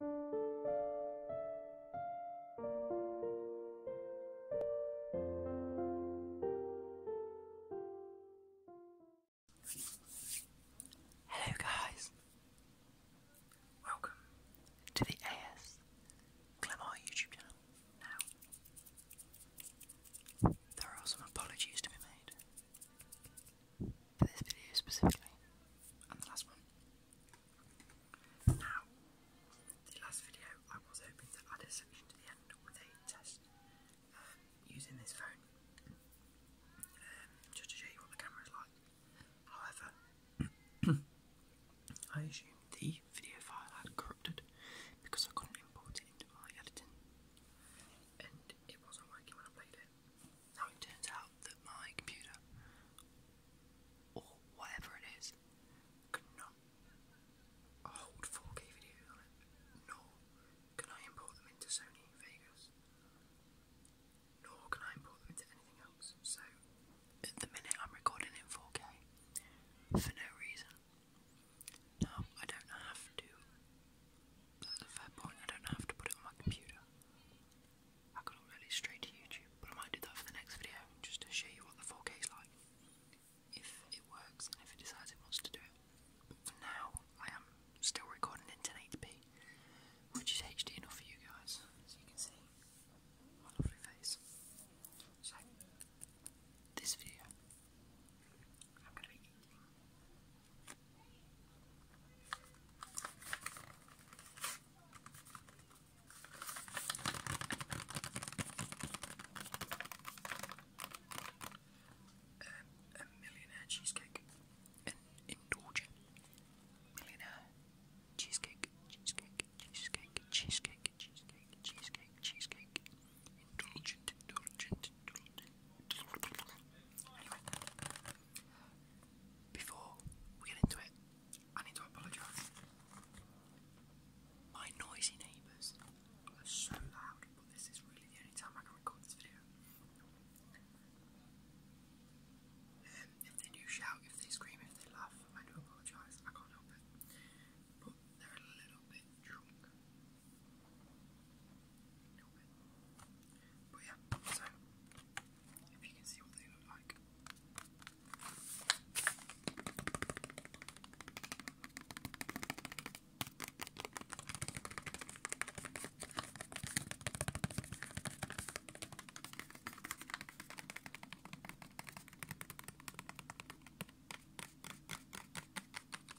Hello, guys. Welcome to the AS Glamour YouTube channel. Now, there are some apologies to be made for this video specifically, and the last one. Now, the last video I was hoping to add a section to the end with a test using this phone, um, just to show you what the camera is like. However, I assumed the video file had corrupted because I couldn't import it into my editing, and it wasn't working when I played it. Now it turns out that my computer, or whatever it is, could hold 4K videos on it, nor can I import them into Sony Vegas, nor can I import them into anything else. So at the minute, I'm recording in 4K for no reason. Now, I don't have to, that's a fair point, I don't have to put it on my computer. I could upload it straight to YouTube, but I might do that for the next video just to show you what the 4K is like. If it works if it decides it wants to do it. But for now, I am still recording in 1080p, which is HD enough for you guys, so you can see my face. So, this video, I'm going to be eating a millionaire cheesecake. An indulgent millionaire cheesecake, cheesecake, cheesecake, cheesecake, cheesecake, cheesecake, cheesecake. Indulgent, indulgent, indulgent. Before we get into it, I need to apologise. My noisy neighbours are so loud, but this is really the only time I can record this video. Um, if they do shout, if they scream, if they laugh, I do apologise, I can't help it. But they're a little bit drunk. A but yeah, so if you can see what they look like. Okay,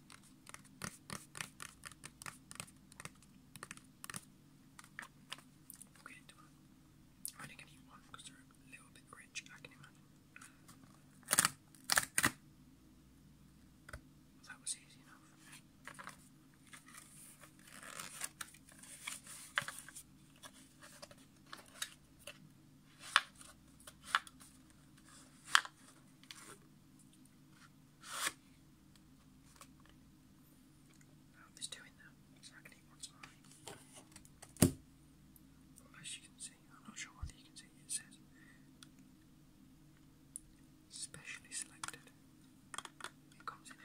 do I? I'm gonna eat one because they're a little bit rich, I can imagine. that was easy enough. Now there's two in As you can see, I'm not sure whether you can see it, says specially selected. It comes in a.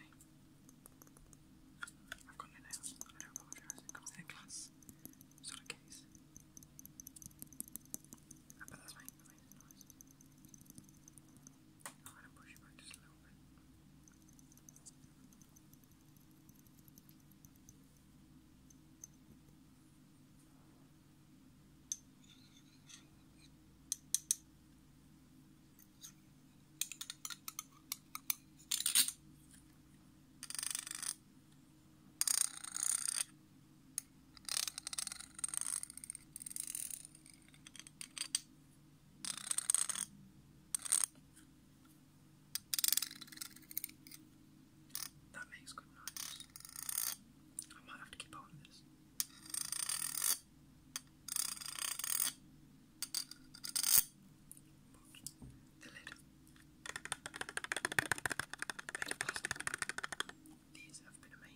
I've got no nails, I don't apologise. It comes in a glass sort of case. I'm going to push it back just a little bit. Right. That makes good noise. I might have to keep on this. But the lid made of plastic. These have been amazing.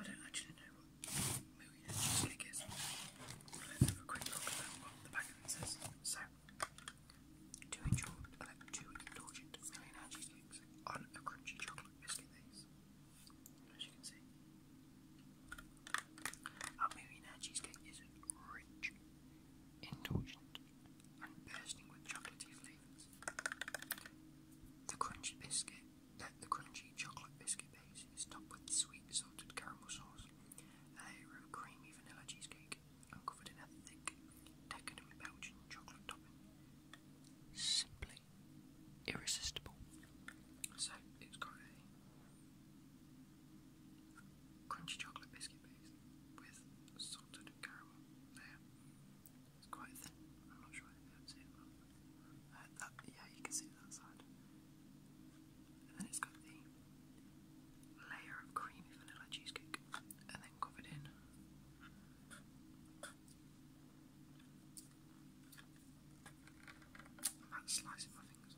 I don't actually know what movie that is. Let's have a quick look at what the back of it says. So, to enjoy, uh, two indulgent millionaire cheesecakes on a crunchy chocolate biscuit base. As you can see, our millionaire cheesecake is rich indulgent, and bursting with chocolatey flavours. The crunchy biscuit, uh, the crunchy chocolate biscuit base is topped with sweet salted caramel sauce, a creamy vanilla cheesecake, and covered in a thick, decadent Belgian chocolate topping. Simply irresistible. So it's got a crunchy chocolate biscuit base with salted caramel layer. It's quite thin. I'm not sure uh, yeah, you can see that side. And then it's got the layer of creamy vanilla cheesecake, and then covered in. That's slicing my fingers.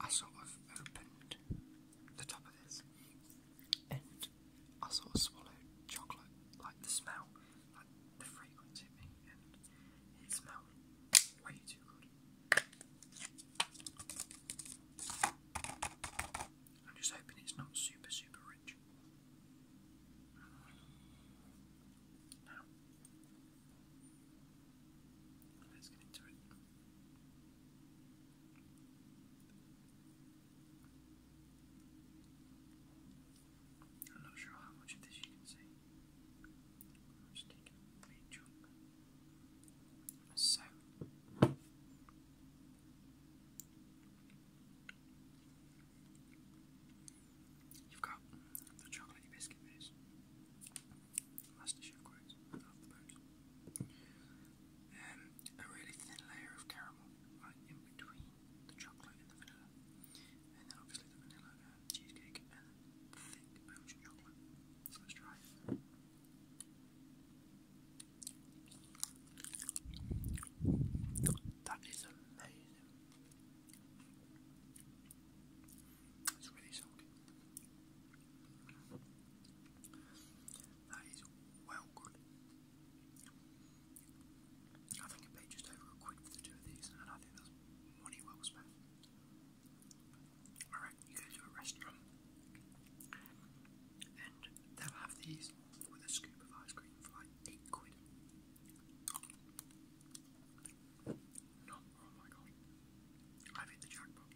I sort of opened the top of this and I sort of swallowed chocolate, like the smell, like the fragrance hit me, and it smelled way too good. I'm just hoping it's not super, super rich. Let's get into it. I'm not sure how much of this you can see. just take a big So. You've got the chocolatey biscuit base. Um, a really thin layer of caramel, right in between the chocolate and the vanilla, and then obviously the vanilla uh, cheesecake and the thick Belgian chocolate. That is amazing. It's really shocking. That is well good. I think I paid just over a quid for the two of these, and I think that's money well spent. you go to a restaurant and they'll have these with a scoop of ice cream for like 8 quid. Oh my god. I've hit the jackpot.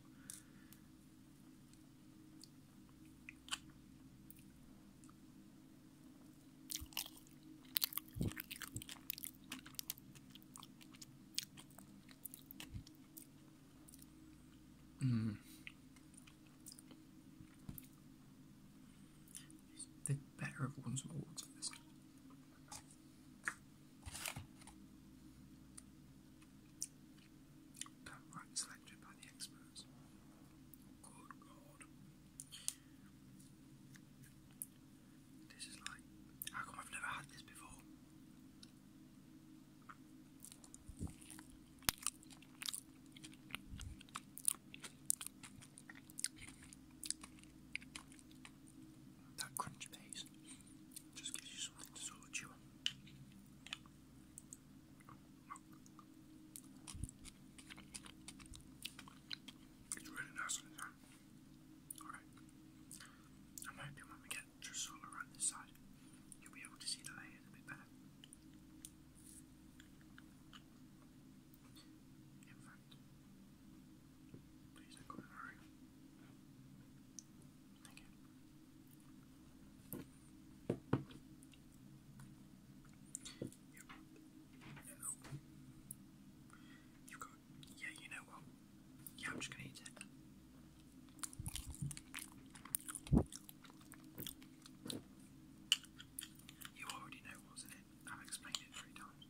Mm. The better of one's awards for this. Copyright selected by the experts. Good God. This is like, how come I've never had this before? that crunch base just gives you something to sort of on. It's really nice on its own. Alright. I'm hoping when we get just all around this side, you'll be able to see the layers a bit better. Please go in Thank you. Yeah, you know what? Yeah, I'm just gonna eat it. You already know, wasn't it? I've explained it three times.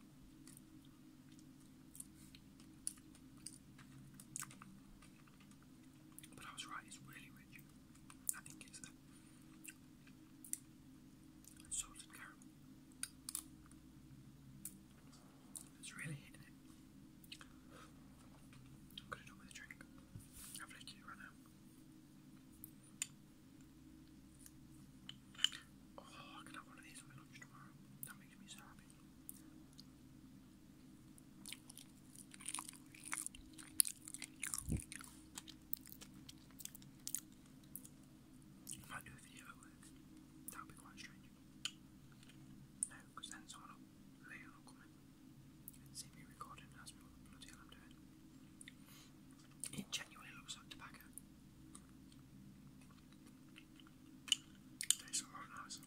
But I was right, it's really rich. I think it's that salted caramel. It's really hitting it. I'm gonna do with a drink. I've lifted it right now. Oh, I can have one of these for lunch tomorrow. That makes me so happy. I might do a video That would be quite strange. No, because then someone later will come in see me recording and ask me what bloody hell I'm doing. It genuinely looks like tobacco. Tastes a lot oh, nicer.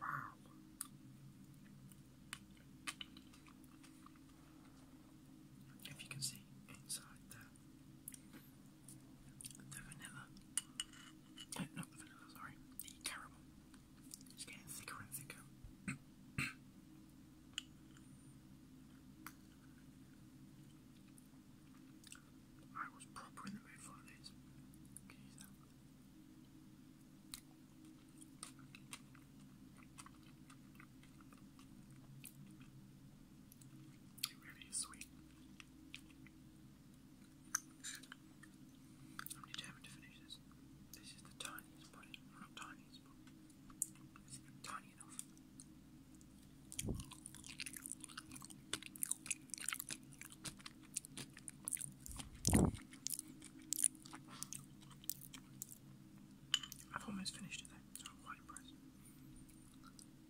Wow. If you can see inside there, the vanilla not the vanilla, sorry. The It's getting thicker and thicker. I was proper in the mood for this. really sweet. I'm determined to finish this. This is the tiniest pudding. Not tiniest, but it's tiny I've almost finished it though, so I'm quite impressed.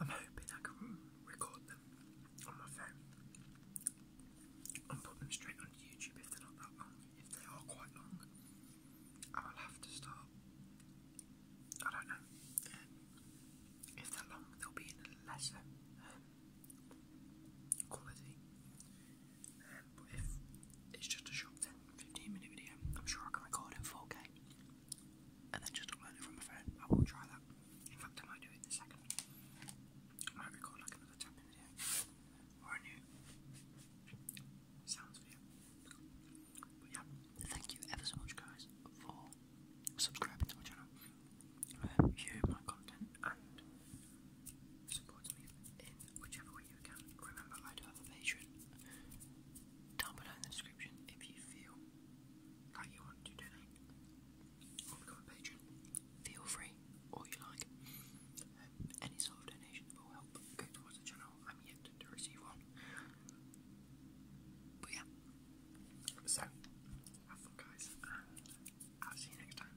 I'm hoping I can record them on my phone and put them straight onto YouTube if they're not that long. If they are quite long, I will have to start. I don't know. if they're long, they'll be in a lesser um, quality. Um, if it's just a short 15 minute video. I'm sure I can record in 4K and then just upload it from my phone. I will try that. In fact, I might do it in a second. I might record like another 10 minute video or a new sounds video. But yeah, thank you ever so much, guys, for subscribing to my channel. Um, my content and support me in whichever way you can. Remember, I do have a Patreon down below in the description if you feel like you want to donate become a patron. Feel free, all you like. Um, any sort of donation will help go towards the channel. I'm yet to receive one. But yeah. So, have fun, guys, and I'll see you next time.